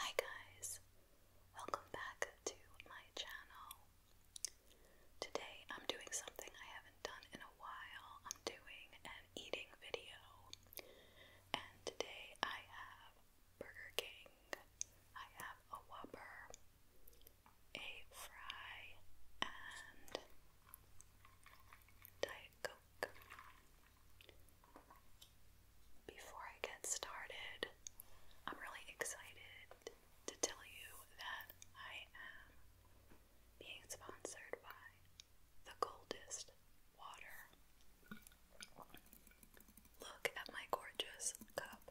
Hi guys, welcome back to my channel. Today I'm doing something I haven't done in a while. I'm doing an eating video, and today I have Burger King, I have a Whopper, a fry, and Diet Coke. Before I get started, I'm really excited to tell you that I am being sponsored by the coldest water. Look at my gorgeous cup.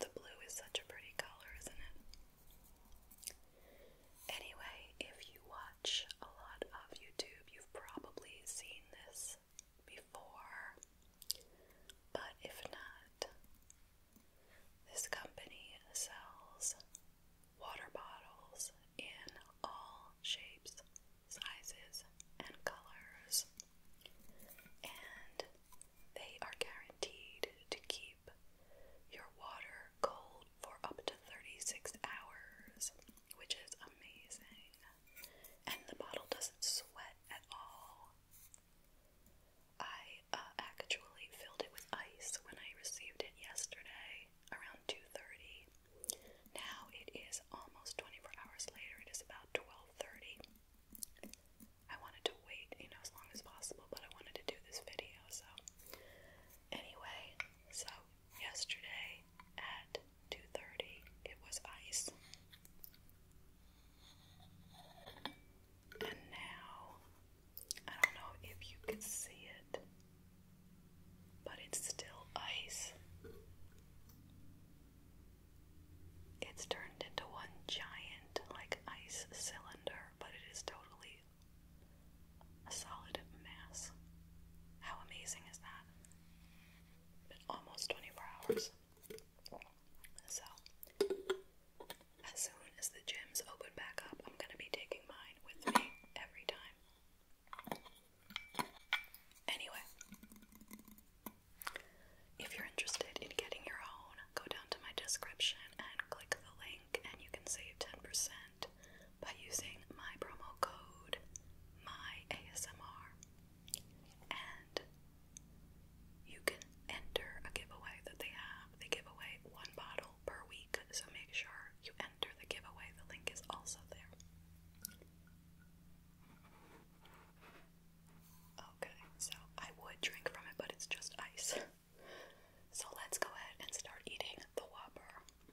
The blue is such a pretty color, isn't it? Anyway, if you watch a lot of YouTube, you've probably seen this before. But if not, this company sells water bottles in all shapes, sizes, and colors. And they are guaranteed to keep your water cold for up to 36 hours which is amazing. And the bottle doesn't sweat at all. I uh, actually filled it with ice when I received it yesterday around 2:30. Now it is almost 24 hours later. It is about 12:30. I wanted to wait, you know, as long as possible, but I wanted to do this video. So anyway, so Yesterday at 2:30 it was ice. And now I don't know if you can see it, but it's still ice. It's turned into one giant like ice cylinder, but it is totally a solid mass. How amazing is that? But almost 24 hours. So, as soon as the gyms open back up, I'm going to be taking mine with me every time. Anyway, if you're interested in getting your own, go down to my description and click the link, and you can save 10% by using my promo code my ASMR, And you can enter a giveaway that they have. They give away one bottle per week, so make sure you enter the giveaway. The link is also there. Okay, so I would drink from it, but it's just ice. So let's go ahead and start eating the Whopper.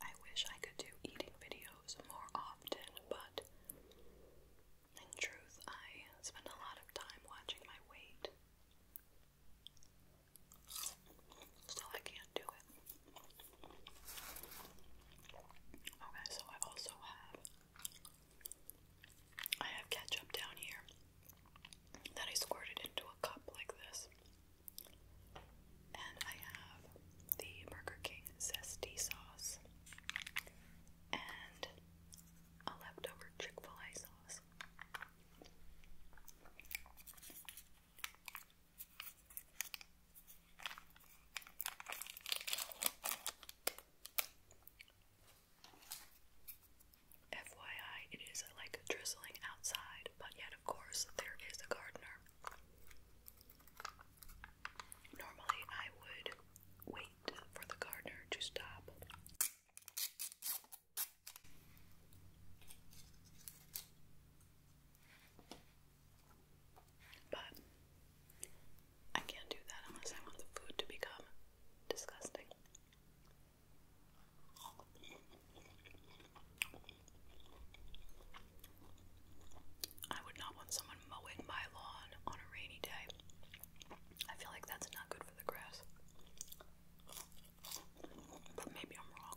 I wish I could do eating videos more often, but in truth, I spend a lot of time watching my weight, so I can't do it. Okay, so I also have I have ketchup down here that I squirted into a cup like this. And I have the Burger King zesty sauce and a leftover Chick-fil-A sauce. FYI, it is like drizzling outside, but yet, of course, there is a gardener. Normally, I would wait for the gardener to stop. But I can't do that unless I want the food to become disgusting. I would not want someone mowing my lawn on a rainy day. I feel like that's not good for the grass. But maybe I'm wrong.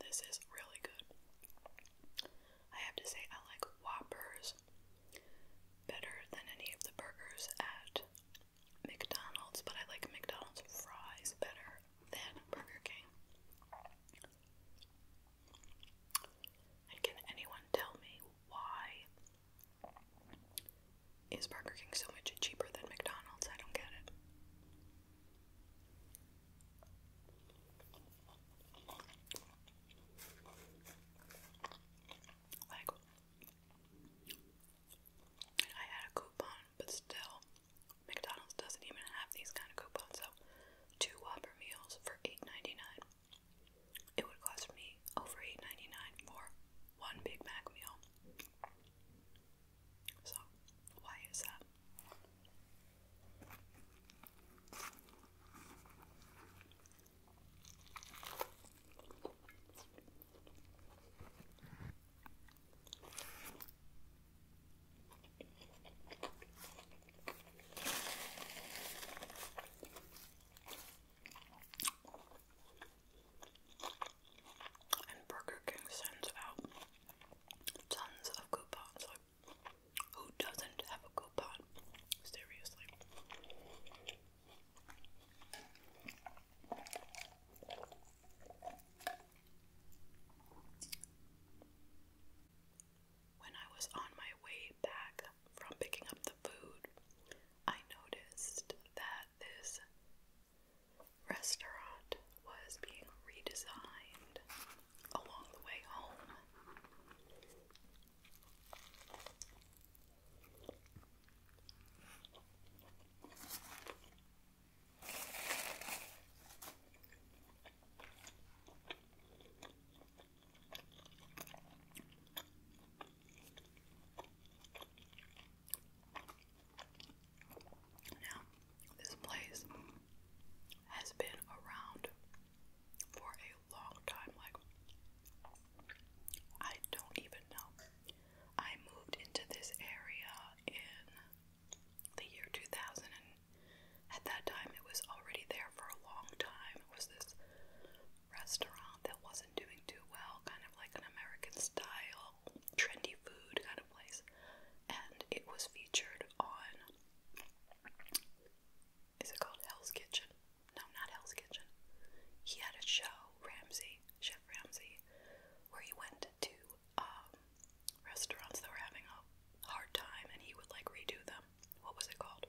This is really good. I have to say, I like Whoppers better than any of the burgers at McDonald's, but I like McDonald's fries better than Burger King. And can anyone tell me why is Burger King so much cheaper than McDonald's? I don't get it. Like, I had a coupon, but still, McDonald's doesn't even have these kind of coupons. So, two Whopper meals for 8 it would cost me over $8.99 for one Big Mac meal. So, why is that? And Burger King sends out tons of coupons. who doesn't have a coupon? Seriously. When I was on my way back from picking up the food, I noticed that this restaurant was being redesigned along the way home. Now, this place has been around for a long time. Like, I don't even know. I moved into this area in the year 2000, and at that time it was already there for a long time. It was this restaurant that wasn't doing too well, kind of like an American style, trendy food kind of place. And it was featured on. Is it called Hell's Kitchen? No, not Hell's Kitchen. He had a show, Ramsay, Chef Ramsay, where he went to um, restaurants that were having a hard time and he would like redo them. What was it called?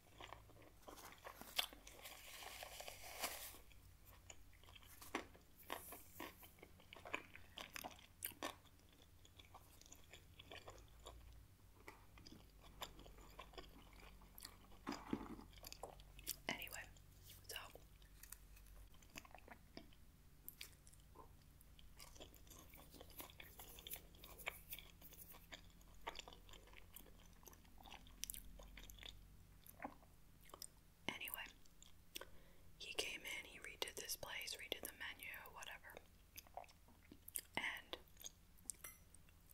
Anyway, so Anyway, he came in, he redid this place, redid the menu, whatever. And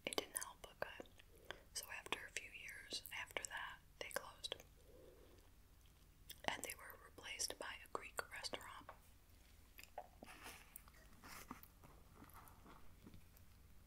it didn't help So after a few years after that, they closed. And they were replaced by a Greek restaurant.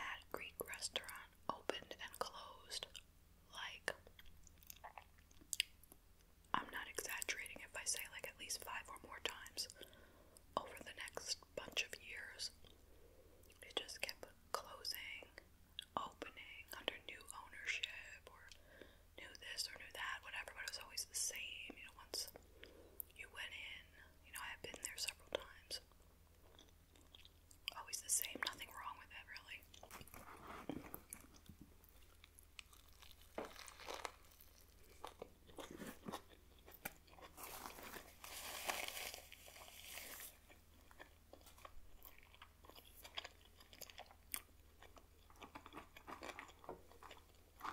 That Greek restaurant opened and closed like I'm not exaggerating if I say like at least five or more times over the next bunch of years. It just kept closing, opening under new ownership or new this or new that, whatever, but it was always the same. You know, once you went in, you know, I have been there several times. Always the same, nothing wrong with it, really. But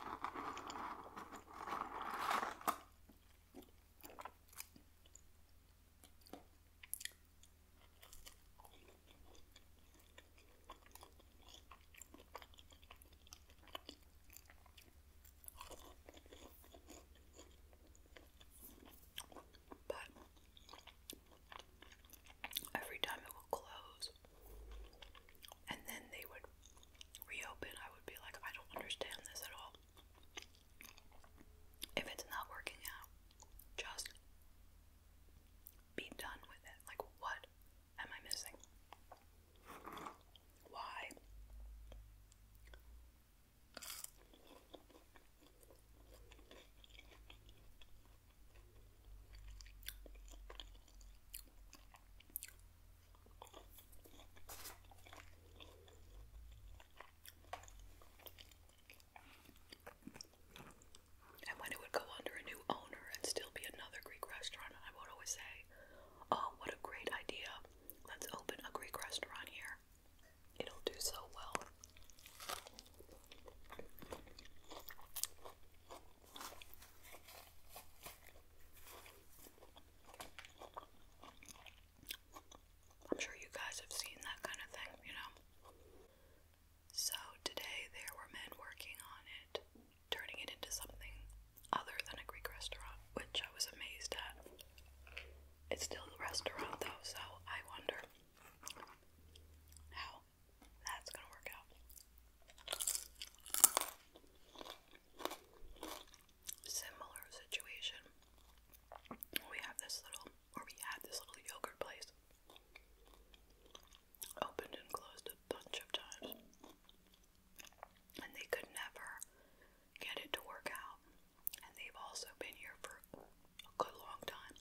every time it would close, and then they would reopen, I would be like, I don't understand this at all. If it's not working out, just be done with it. Like, what am I missing? Why? And when it would go under a new owner and still be another Greek restaurant, I would always say, Oh, what a great idea! Let's open a Greek restaurant here. It'll do so well. I'm sure you guys have seen that kind of thing, you know? So today there were men working on it, turning it into something other than a Greek restaurant, which I was amazed at. It's still a restaurant though, so I wonder how that's gonna work out. Similar situation. We have this little, or we had this little yogurt place. Opened and closed a bunch of times. And they could never get it to work out. And they've also been here for a good long time.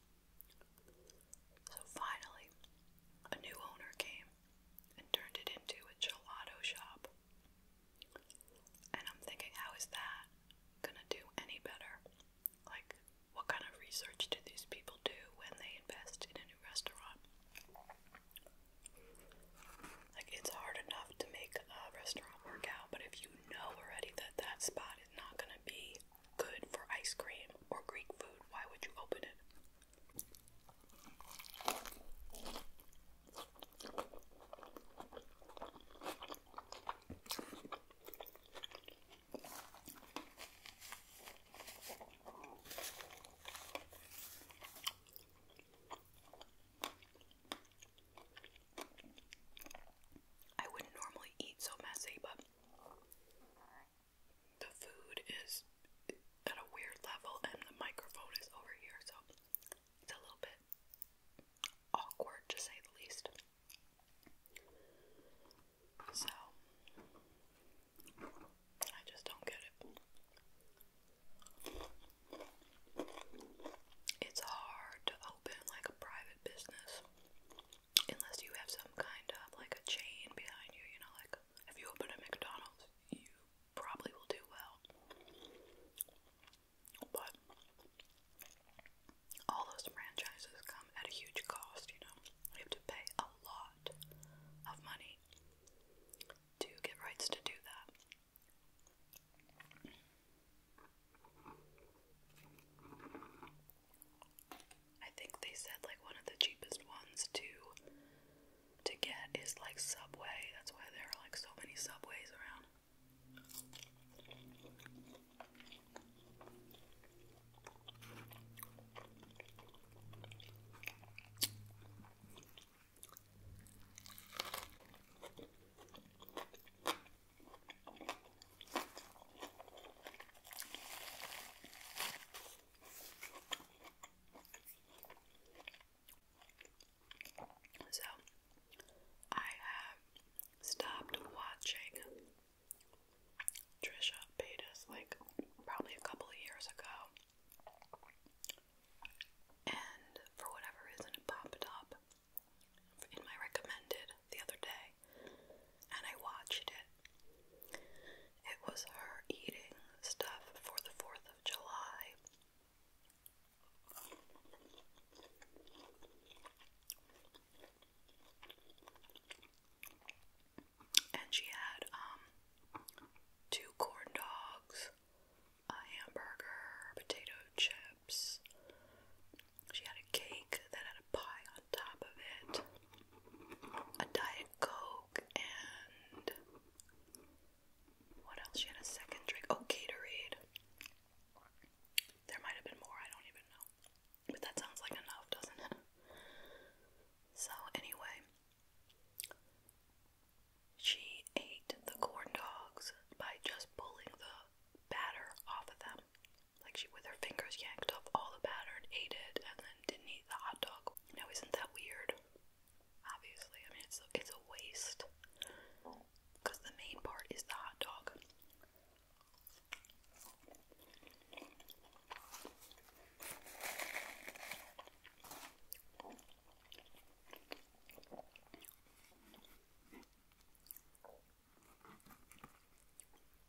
So finally, a new owner came and turned it into a gelato shop. And I'm thinking, how is that gonna do any better? Like, what kind of research do these people do when they invest in a new restaurant? Like, it's hard enough to make a restaurant work out, but if you know already that that spot is not gonna be good for ice cream or Greek food, why would you open it? I wouldn't normally eat so messy, but the food is at a weird level and the microphone is over here, so it's a little bit awkward to say the least. So, I just don't get it. It's hard to open like a private business unless you have some kind of like a chain behind you, you know, like if you open a McDonald's, you probably will do well. But all those franchises come at a huge cost, you know. You have to pay a lot of money to get rights to do that. I think they said like one of the cheapest ones to to get is like Subway. That's why there are like so many Subways around. So, I have stopped watching Trisha Paytas like probably a couple of years ago. And for whatever reason, it popped up in my recommended the other day, and I watched it. It was her eating stuff for the 4th of July. And she had um two corn dogs, a hamburger, potato chips. She had a cake that had a pie on top of it, a diet Coke and what else? She had a second drink. Oh, Gatorade. There might have been more, I don't even know. But that sounds like enough, doesn't it? So, anyway, she ate the corn dogs by just pulling the batter off of them. Like, she, with her fingers, yanked off all the batter and ate it, and then didn't eat the hot dog now, isn't that weird? Obviously, I mean, it's a, it's a waste because the main part is the hot dog.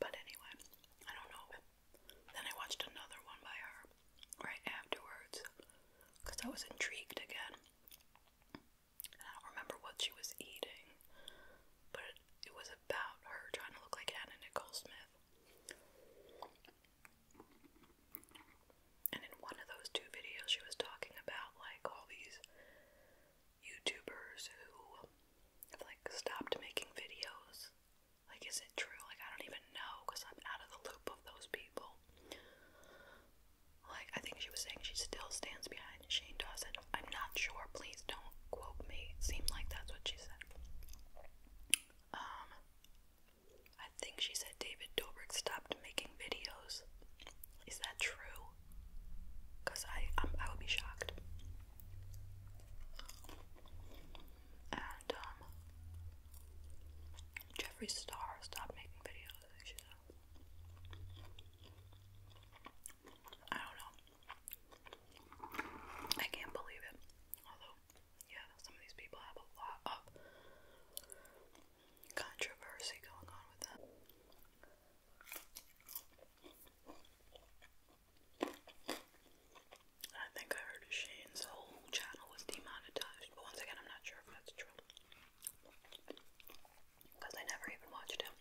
But anyway, I don't know. Then I watched another one by her right afterwards because I was intrigued again. I don't remember what she was eating, but it was about her trying to look like Anna Nicole Smith. And in one of those two videos, she was talking about like all these YouTubers who have like stopped making videos. Like, is it true? Like, I don't even know because I'm out of the loop of those people. Like, I think she was saying she still stands behind Shane Dawson. I'm not sure. Please don't quote me. It seemed like that's what she said. Um, I think she said. David Dobrik stopped making videos. Is that true? Because I, I would be shocked. And, um, Star stopped making videos. I don't know. I can't believe it. Although, yeah, some of these people have a lot of controversy going on with that. I think I heard Shane's whole channel was demonetized, but once again, I'm not sure if that's true. Because I never even watched him.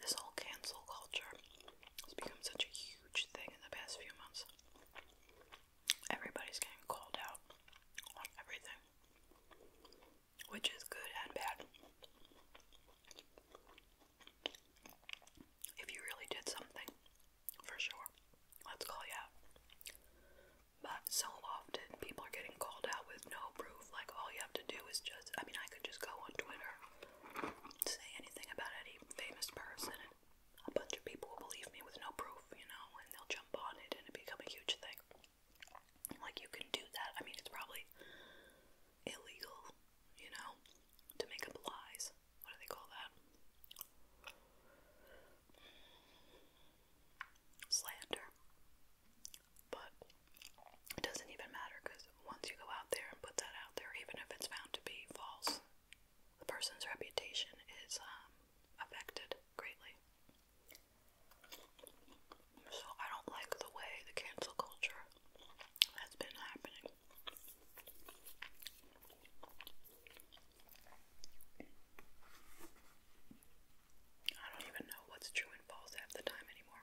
This whole cancel culture has become such a huge thing in the past few months. Everybody's getting called out on everything which is good and bad. If you really did something, for sure, let's call you But so often people are getting called out with no proof. Like all you have to do is just, I mean, I could just go on Twitter, say anything about any famous person, and a bunch of people will believe me with no proof, you know, and they'll jump on it and it become a huge thing. Like, you can do that. I mean, it's probably illegal, you know, to make up lies. What do they call that? Slander. But it doesn't even matter because once you go out there and put that out there, even if it's found to be false, the person's reputation is um, affected greatly. So I don't like the way the cancel culture has been happening. I don't even know what's true and false half the time anymore.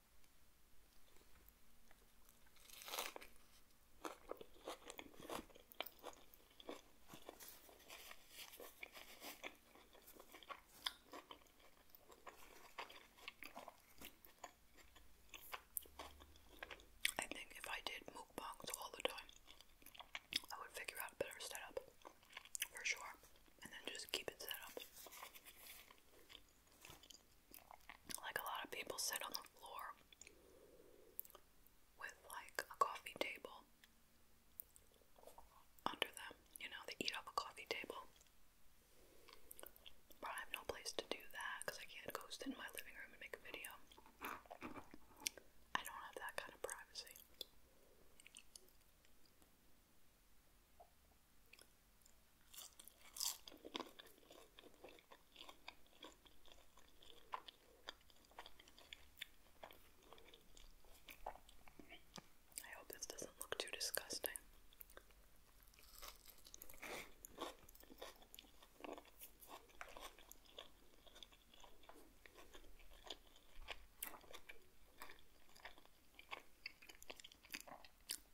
I think if I did mukbangs all the time, I would figure out better setup for sure, and then just keep it set up. Like a lot of people sit on the floor with like a coffee table under them, you know, they eat off a coffee table. But I have no place to do that because I can't go sit in my living room and make a video. I don't have that kind of privacy. I hope this doesn't look too disgusting.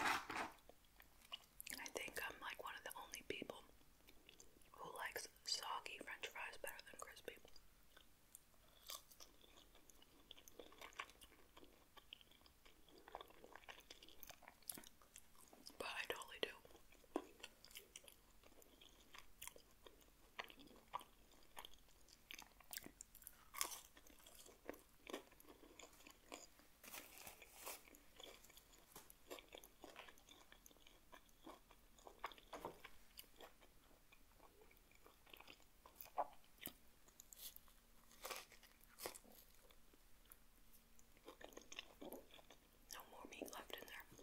I think I'm like one of the only people who likes soggy french fries better than crispy. But I totally do. No more meat left in there.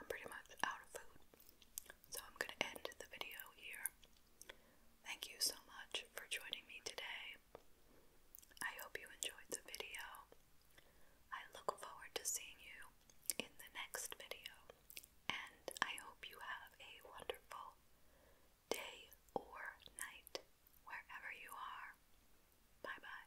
I'm pretty much out of food, so I'm going to end the video here. Thank you so much for joining me today. I hope you enjoyed the video. I look forward to seeing you in the next video, and I hope you have a wonderful day or night wherever you are. Bye bye.